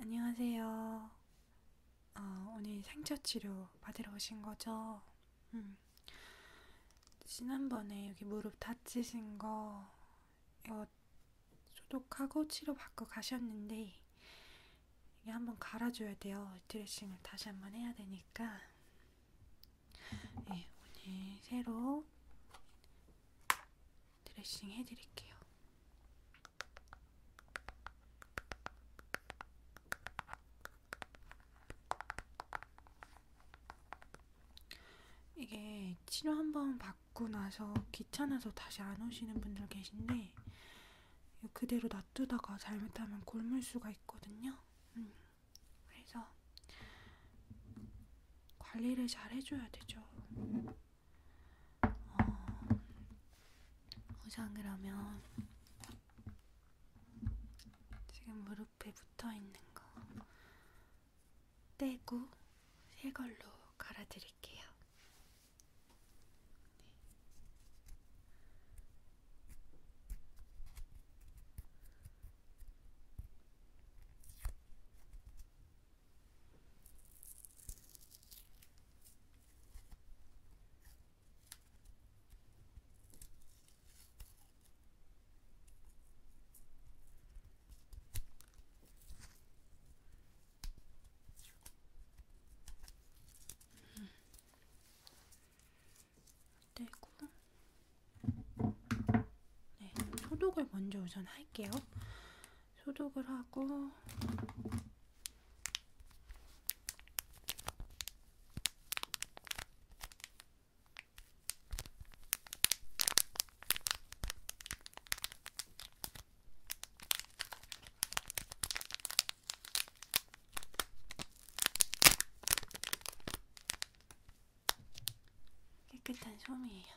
안녕하세요. 어, 오늘 상처 치료 받으러 오신 거죠? 음. 지난번에 여기 무릎 다치신 거 이거 소독하고 치료 받고 가셨는데 이게 한번 갈아줘야 돼요. 드레싱을 다시 한번 해야 되니까. 네, 오늘 새로 드레싱 해드릴게요. 이게 치료 한 번 받고 나서 귀찮아서 다시 안 오시는 분들 계신데 그대로 놔두다가 잘못하면 곪을 수가 있거든요. 음. 그래서 관리를 잘 해줘야 되죠. 어, 포장을 하면 지금 무릎에 붙어 있는 거 떼고 새 걸로 갈아드릴게요. 네. 떼고 네, 소독을 먼저 우선 할게요. 소독을 하고 깨끗한 솜이에요.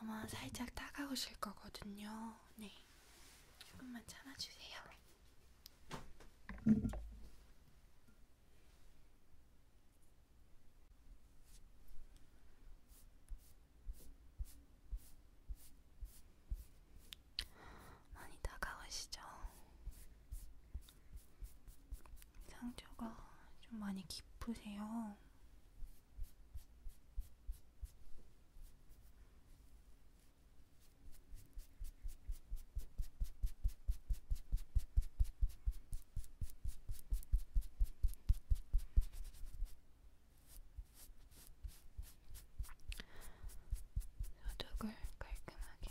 아마 살짝 따가우실 거거든요. 네, 조금만 참아주세요. 많이 따가우시죠? 상처가 좀 많이 깊으세요. 소독을 깔끔하게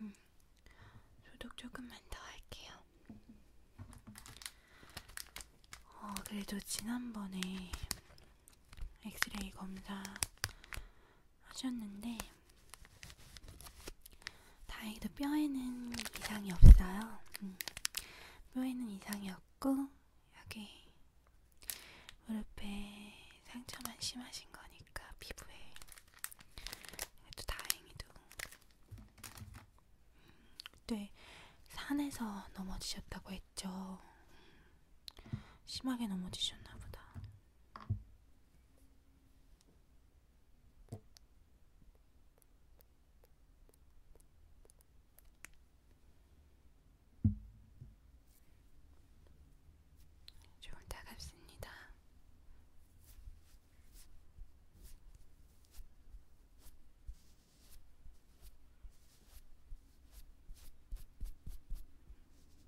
음, 소독 조금만 더 할게요. 어, 그래도 지난번에 엑스레이 검사 하셨는데 다행히도 뼈에는 이상이 없어요. 음, 뼈에는 이상이 없고 여기 무릎에 상처만 심하신 거니까 피부에 또 다행히도 음. 그때 산에서 넘어지셨다고 했죠. 심하게 넘어지셨나 보다. 좋은 따갑습니다.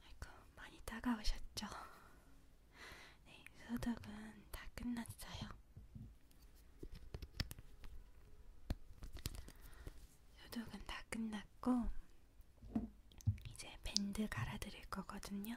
아이고 많이 따가우셨죠? 네, 소독은 다 끝났어요. 소독은 다 끝났고 이제 밴드 갈아드릴 거거든요.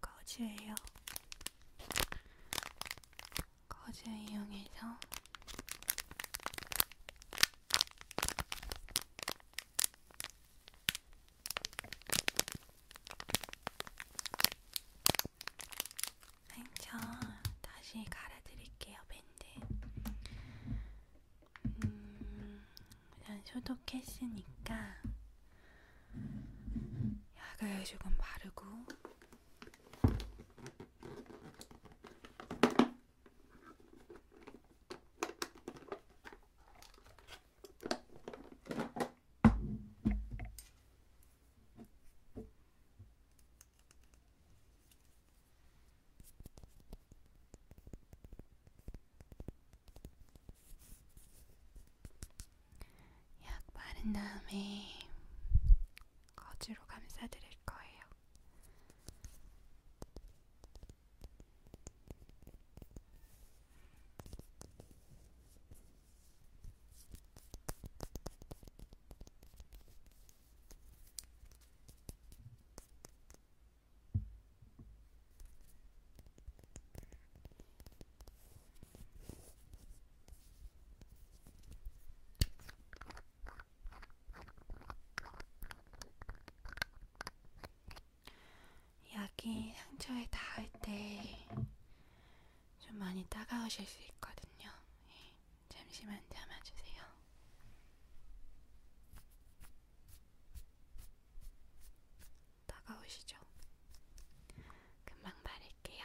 거즈예요. 거즈 이용해서 상처 네, 다시 갈아드릴게요, 밴드. 음, 일단 소독했으니까 약을 조금 바르고 약 바른 다음에 거즈로 감싸드릴 거예요. 약이 상처에 닿을 때 좀 많이 따가우실 수 있거든요. 예, 잠시만 참아주세요. 다가오시죠? 금방 바를게요.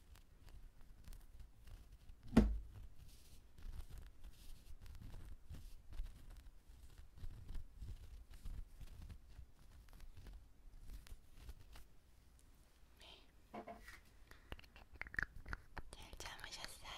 잘 잠으셨어요?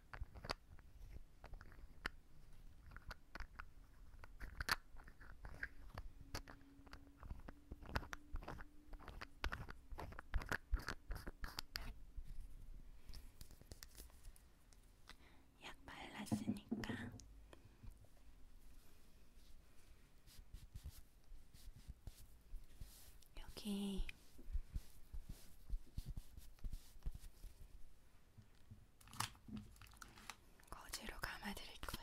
약 발랐으니까 여기 거즈로 감아드릴 거예요.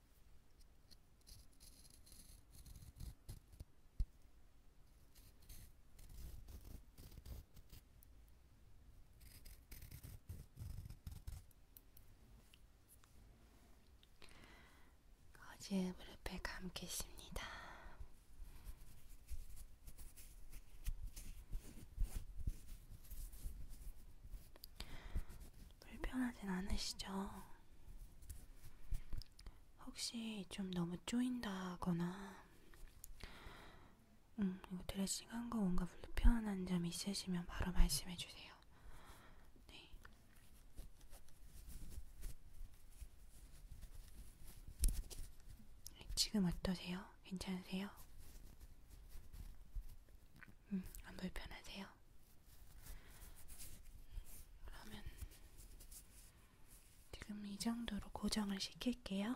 거지의 무릎에 감겠습니다. 불편하진 않으시죠? 혹시 좀 너무 쪼인다거나, 음, 이거 드레싱한 거 뭔가 불편한 점 있으시면 바로 말씀해 주세요. 네. 지금 어떠세요? 괜찮으세요? 음, 안 불편하세요? 같아요. 그러면 지금 이 정도로 고정을 시킬게요.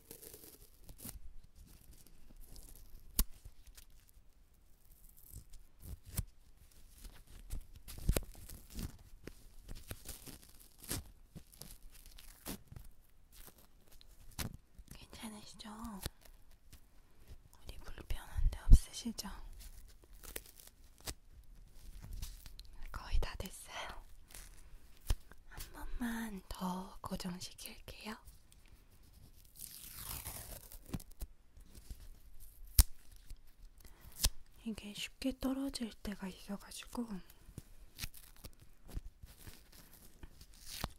괜찮으시죠? 우리 불편한 데 없으시죠? 거의 다 됐어요. 한 번만 더 고정시킬게요. 이게 쉽게 떨어질 때가 있어가지고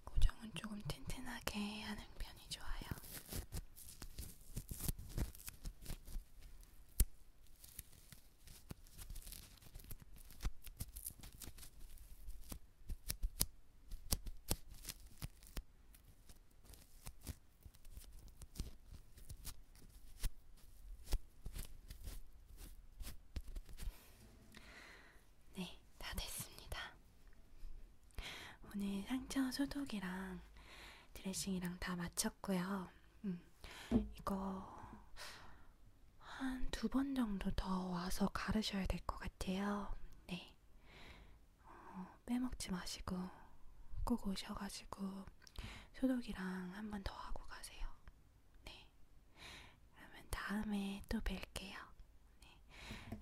고정은 조금 튼튼하게 하는 편이 좋아요. 네, 다 됐습니다. 오늘 상처 소독이랑 드레싱이랑 다 마쳤고요. 음, 이거 한두번 정도 더 와서 가르셔야 될 것 같아요. 네. 어, 빼먹지 마시고 꼭 오셔가지고 소독이랑 한 번 더 하고 가세요. 네. 그러면 다음에 또 뵐게요. 네.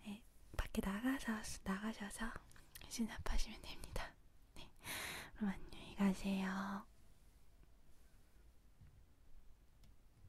네. 밖에 나가서, 나가셔서 진압하시면 됩니다. 네. 그럼 안녕히 가세요.